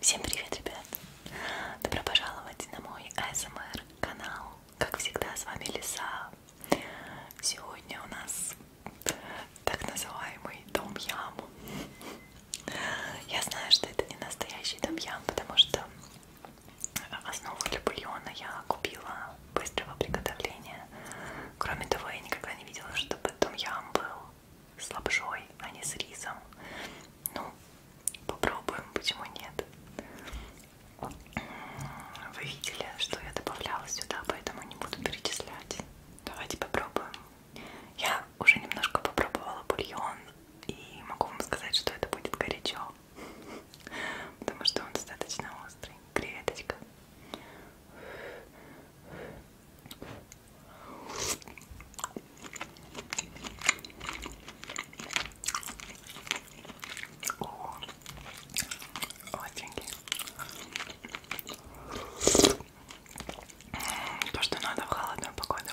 Всем привет, ребят! Добро пожаловать на мой ASMR канал. Как всегда, с вами Лиса. Сегодня у нас так называемый дом ям. Я знаю, что это не настоящий дом ям, потому что основу для бульона я купила быстрого приготовления. Кроме того, я никогда не видела, чтобы том ям был с лапшой, а не с рисом. Ну, попробуем, почему нет. Вы видели, что я добавляла сюда, поэтому не буду перечислять. Давайте попробуем. Я уже немножко попробовала бульон и могу вам сказать, что это будет горячо. Потому что он достаточно острый. Креветочка. Остренький. То, что надо в холодную погоду.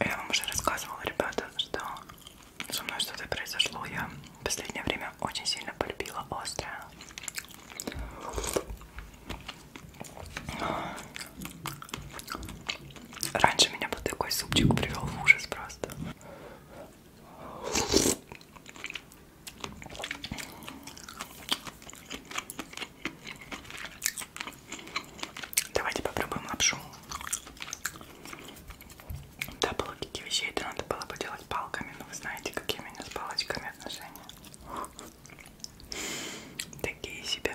Я вам уже рассказывала, ребята, что со мной что-то произошло. Я в последнее время очень сильно полюбила острое. Раньше меня вот такой супчик привел в ужас просто. Давайте попробуем лапшу. Да, по логике вещей это надо было бы делать палками, но вы знаете, какие у меня с палочками отношения. Такие себе.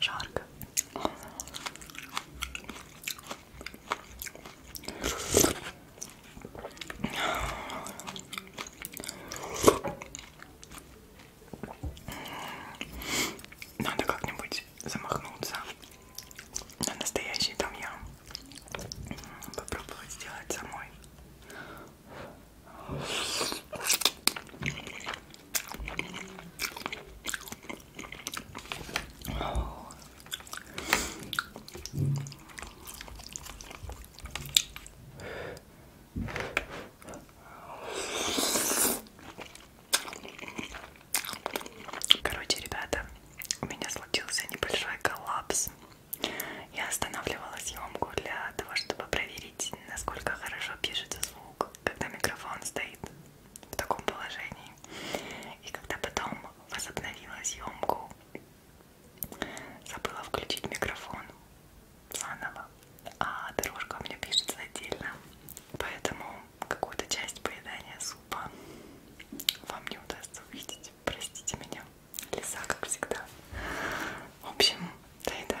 Жарко. Надо как-нибудь замахнуться на настоящий там я попробовать сделать самой. Короче, ребята, у меня случился небольшой коллапс. Я останавливала съемку для того, чтобы проверить, насколько хорошо пишется звук, когда микрофон стоит в таком положении. И когда потом возобновила съемку, забыла включить микрофон заново, а дорожка у меня пишется отдельно. Поэтому какую-то часть поедания супа вам не удастся увидеть. Простите меня. Лиса, как всегда. В общем, доедаем.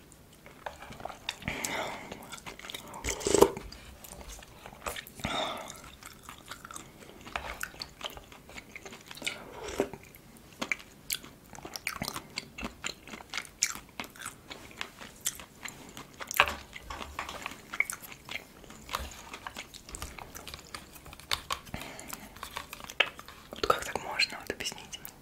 Вот как так можно, вот объясните мне.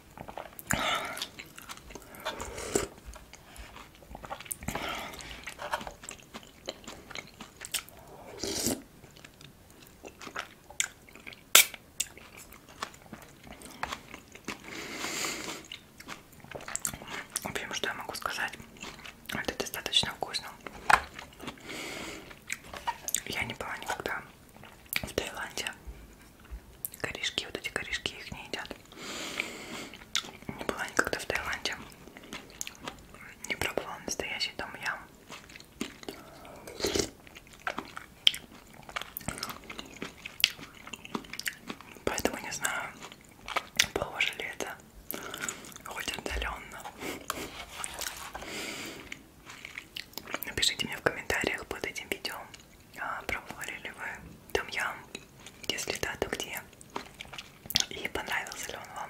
В общем, что я могу сказать, это достаточно вкусно. Я не была никогда в Таиланде, Корешки, вот эти корешки, их не едят. Не была никогда в Таиланде. Не пробовала настоящий том ям. Поэтому не знаю, похоже ли это хоть отдаленно. Напишите мне в комментариях под этим видео, а, пробовали ли вы там ям, если да, то где, и понравился ли он вам.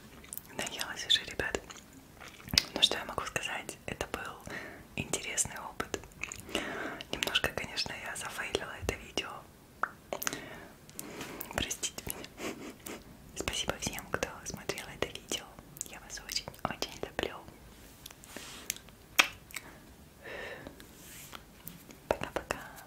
я наелась уже, ребят. Ну что я могу сказать, это был интересный опыт. Немножко, конечно, я зафейлила это видео. Простите меня. Спасибо всем, кто смотрел это видео. Я вас очень-очень люблю. Пока-пока.